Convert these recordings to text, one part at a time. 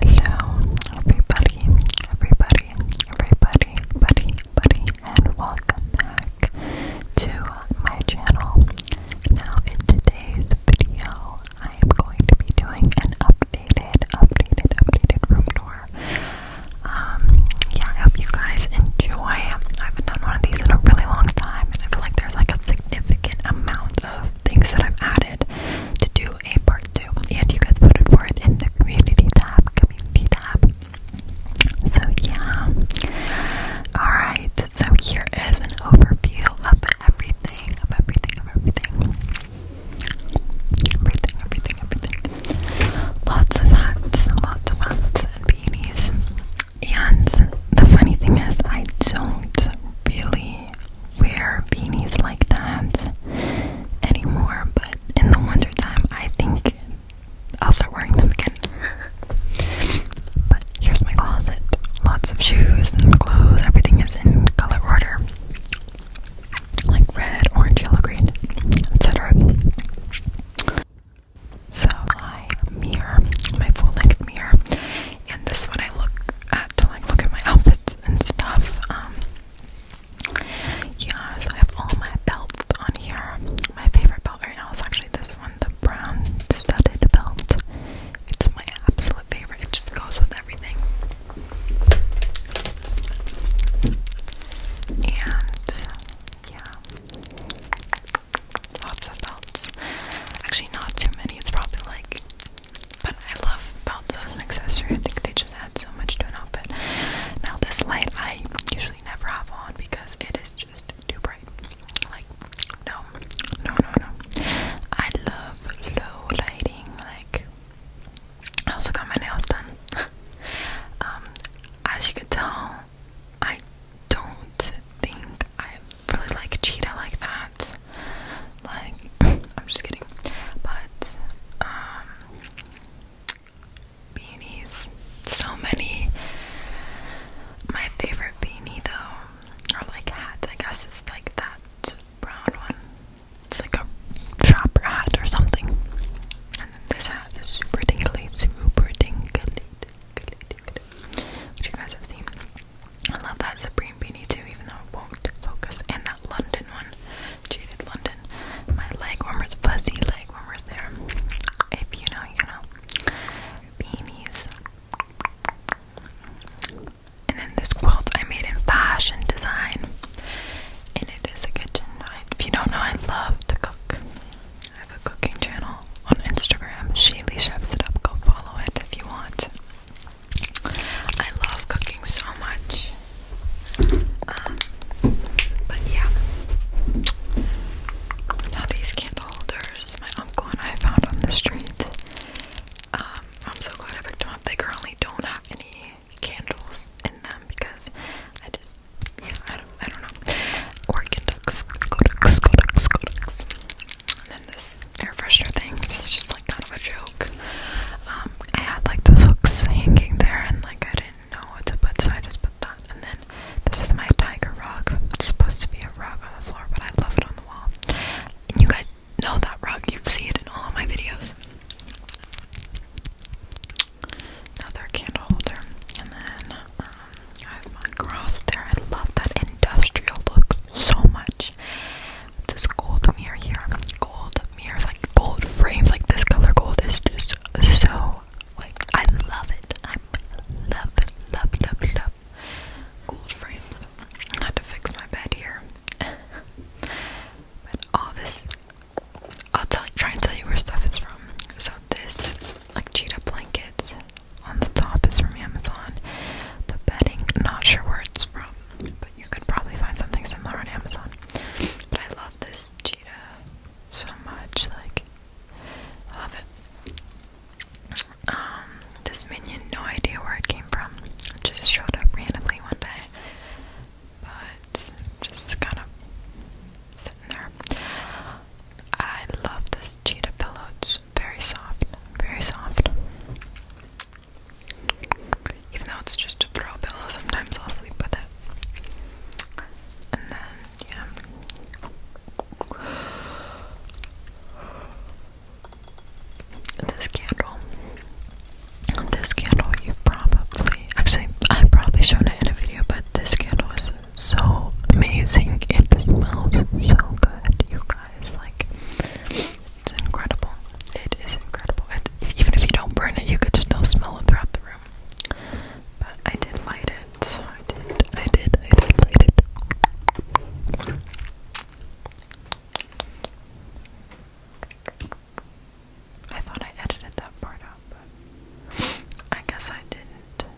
Hello, everybody, everybody, everybody, buddy, buddy, and welcome back to my channel. Now, in today's video, I am going to be doing an updated, updated, updated room tour. Um, yeah, I hope you guys enjoy. I have done one of these in a really long time, and I feel like there's like a significant amount of things that I've added to do a part 2 and you guys voted for it in the community tab, community tab. So yeah. Alright, so here is an overview of everything, of everything, of everything. Everything, everything, everything. Lots of hats, lots of hats and beanies. And the funny thing is I don't really wear beanies like that anymore, but in the wintertime, I think I'll start wearing them again. but here's my closet lots of shoes and clothes, everything is in color order like red, orange, yellow, green, etc. So, my mirror, my full length mirror, and this one I look at to like look at my outfits and stuff. Um, yeah, so I have all my belts on here. My favorite belt right now is actually this one, the brown studded belt. It's my absolute favorite. It just goes with everything. And yeah. Lots of belts. Actually not too many. It's probably like but I love belts as an accessory. I think they just add so much to an outfit. Now this light I usually never have on because it is just too bright. Like no, no, no, no. I love low lighting. Like I also got my nails done. um, as you can tell, I don't think I really like cheetah like that. Like, I'm just kidding. But, um, beanies. So many. My favorite beanie, though, are like hat, I guess, it's like that brown one. It's like a chopper hat or something. And then this hat is super tingly, super tingly, tingly, tingly, tingly which you guys have seen. I love that Supreme beanie too, even though it won't focus. And that London one, jaded London. My leg warmers, fuzzy leg warmers. There, if you know, you know. Beanies. And then this quilt I made in fashion design, and it is a kitchen. night. If you don't know, I love to cook. I have a cooking channel on Instagram. Shaylee chefs it up. Go follow it if you want. I love cooking so much. Um, but yeah. Now these candle holders, my uncle and I found on the street. Um, I'm so glad I picked them up. They currently don't have any candles in them because I just, yeah, I don't, I don't know. Oregon And then this air freshener thing. This is just kind of a joke. Um, I had like those hooks hanging there, and like I didn't know what to put, so I just put that. And then this is my tiger rug. It's supposed to be a rug on the floor, but I love it on the wall. And you guys know that rug. You see it in all my videos. Another candle holder, and then um, I have one cross there. I love that industrial look so much much. This gold mirror here, gold mirrors, like gold frames, like this color gold is just so like I love it. I love it, love, love, love gold frames. I had to fix my bed here, but all this. I'll tell, try and tell you where stuff is from. So this, like cheetah blankets, on the top is from Amazon. The bedding, not sure where it's from but you could probably find something similar on Amazon. But I love this cheetah so much, like, I love it. Um, this minion, no idea where it came from, it just showed up randomly one day, but just kind of sitting there. I love this cheetah pillow, it's very soft, very soft. Even though it's just a throw pillow, sometimes I'll sleep with it. And then, yeah. This candle. This candle, you probably. Actually, I've probably shown it in a video, but this candle is so amazing. It smells so good, you guys. Like, it's incredible. It is incredible. It, even if you don't burn it, you could still smell it throughout the room. But I did light it. So I did, I did, I did light it. I thought I edited that part out, but I guess I didn't.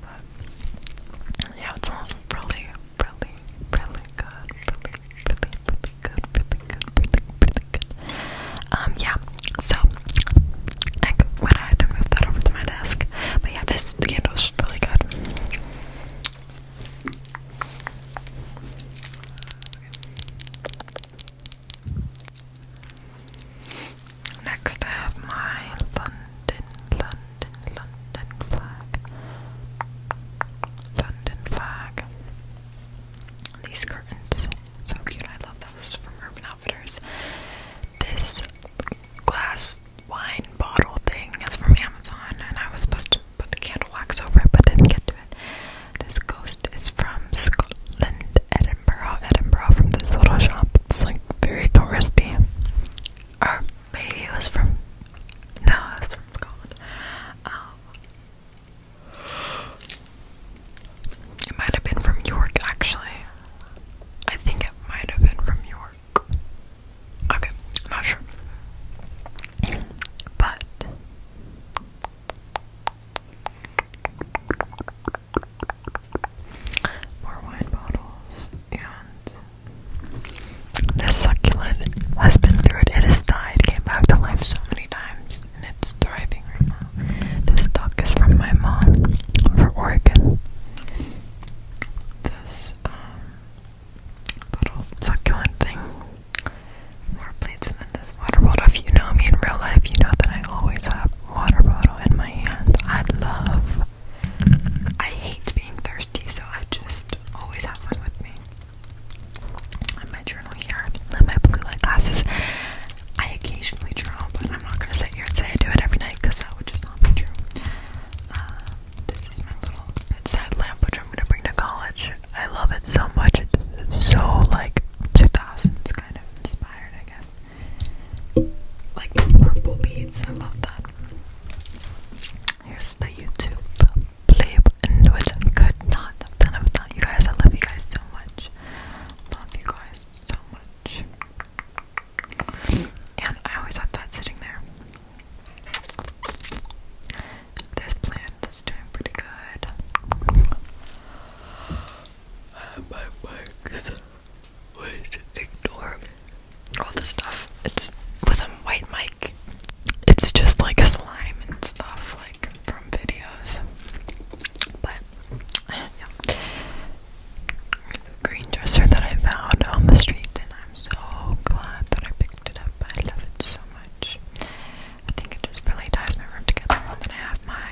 But yeah, it smells really, really, really good. Really, really, really good. Really good. Really, really good. Um, yeah. So, I went ahead and moved that over to my desk. But yeah, this candle is really good. Next, I have my London, London, London flag. London flag. These curtains, so cute. I love those from Urban Outfitters. This glass wine bottle thing is from Amazon, and I was supposed to put candle wax over it, but didn't get to it. This ghost is from Scotland, Edinburgh, Edinburgh, from this little shop. It's like very touristy. Or Maybe it was from. No, it was from Scotland. Um, it might have been from York, actually. I think it might have been from York. Okay, not sure. But. More wine bottles and this succulent has been through it, it has died, came back to life so many times, and it's thriving right now. This duck is from my mom, for Oregon. This, um, little succulent thing. More plants than this water bottle. If you know me in real life, you know that I always have a water bottle in my hand. I love I hate being thirsty, so I just always have one with me my journal here, my blue light glasses. I occasionally journal, but I'm not gonna sit here and say I do it every night that would just not be true. Uh, this is my little bedside lamp, which I'm gonna bring to college. I love it so much. It's, it's so like 2000s kind of inspired, I guess. Like purple beads, I love that. Here's the YouTube blip in which not have done it without you guys. I love you guys so much. Love you guys so much. And I always have that sitting there. This plant is doing pretty good. My mics would ignore all the stuff. It's with a white mic it's just like slime and stuff like from videos. But yeah. The green dresser that I found on the street and I'm so glad that I picked it up. I love it so much. I think it just really ties my room together. And then I have my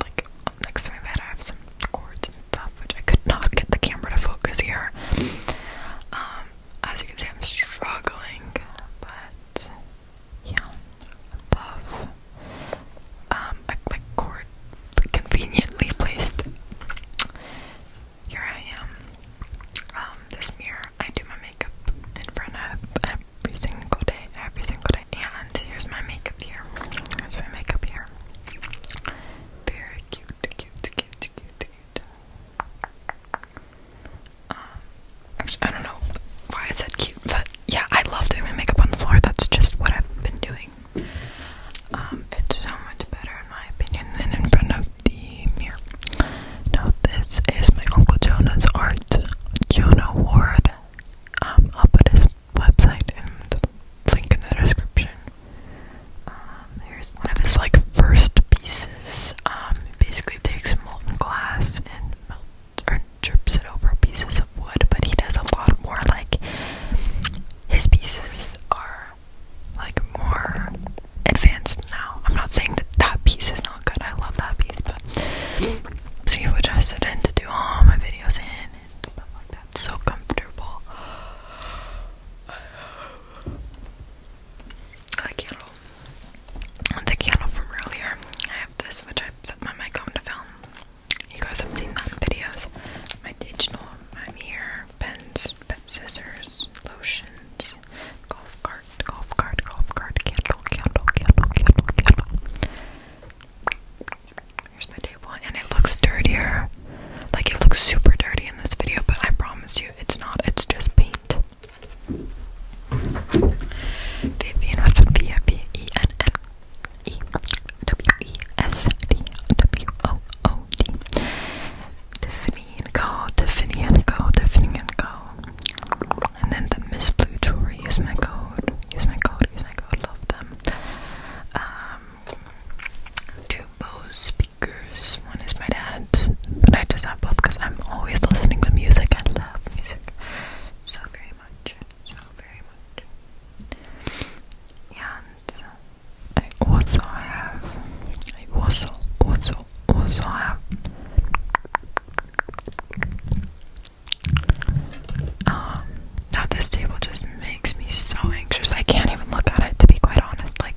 like next to my bed I have some cords and stuff which I could not get the camera to focus here. Um, as you can see, I'm struggling, but yeah, above. Um, I like conveniently placed. Here I am. Um, this mirror, I do my makeup in front of every single day, every single day. And here's my makeup here. Here's my makeup here. Very cute, cute, cute, cute, cute. Um, I don't know why I said cute, but yeah, I love doing my makeup on the floor. That's just what I've been doing. Um, it's so much better, in my opinion, than in front of the mirror. Now, this is my Uncle Jonah's art, Jonah Ward. Um, I'll put his website and link in the description. Um, here's one of his like first pieces. Um, it basically takes molten glass and melts or drips it over pieces of wood, but he does a lot more like his pieces are like more advanced now. I'm not saying that that piece is not good. I love that piece, but see which I sit in to do all my videos in and stuff like that. So comfortable. I can't the candle from earlier. I have this, which I set my mic on to film. You guys have seen that in videos. My digital, my mirror, pens, pen scissors, lotions, golf cart, golf cart, golf cart, candle, candle, candle, candle, candle. Here's my table, and it looks dirtier. Like it looks super dirty in this video, but I promise you, it's not. It's just paint. Vivian was V I V E N N E W E S D W O O D. Tiffany and Co. Tiffany and Co. Tiffany and then the Miss Blue Jewelry. Use my code. Use my code. Use my code. Love them. Um, to Bose one is my dad's, but I just have both because I'm always listening to music. I love music so very much. So very much. And I also have, I also, also, also have um, now this table just makes me so anxious. I can't even look at it to be quite honest. Like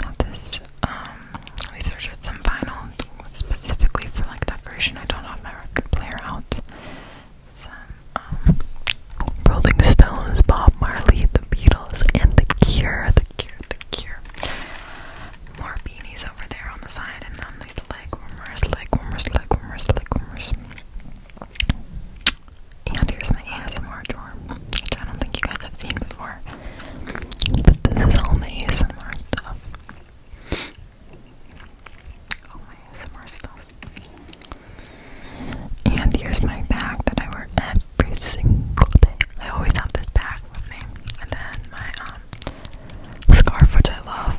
Now this, um, these are some vinyl specifically for like decoration. I don't have my record player out. Some um, Rolling Stones, Bob Marley, The Beatles, and The Cure. The Cure. The Cure. More beanies over there on the side, and then and here's my ASMR drawer, which I don't think you guys have seen before. But this is all my ASMR stuff. All my ASMR stuff. And here's my bag that I wear every single day. I always have this bag with me. And then my um scarf, which I love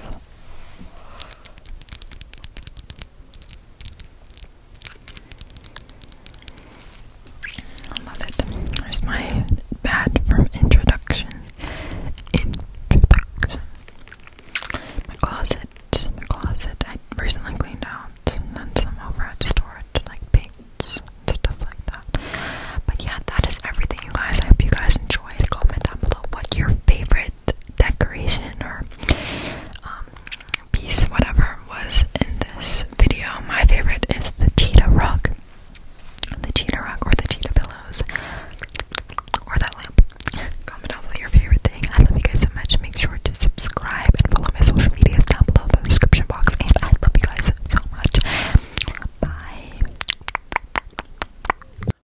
love it. There's my bad from introduction. Introduction. My closet. My closet. I recently cleaned out and then some overhead storage, like paints and stuff like that. But yeah, that is everything, you guys. I hope you guys enjoyed. Comment down below what your favorite decoration or um, piece, whatever was in this video. My favorite is the cheetah rug, the cheetah rug, or the cheetah pillows, or that lamp. Comment down below your favorite thing. I love you guys so much. Make sure to subscribe and follow my social medias down below the description box. And I love you guys so much. Bye.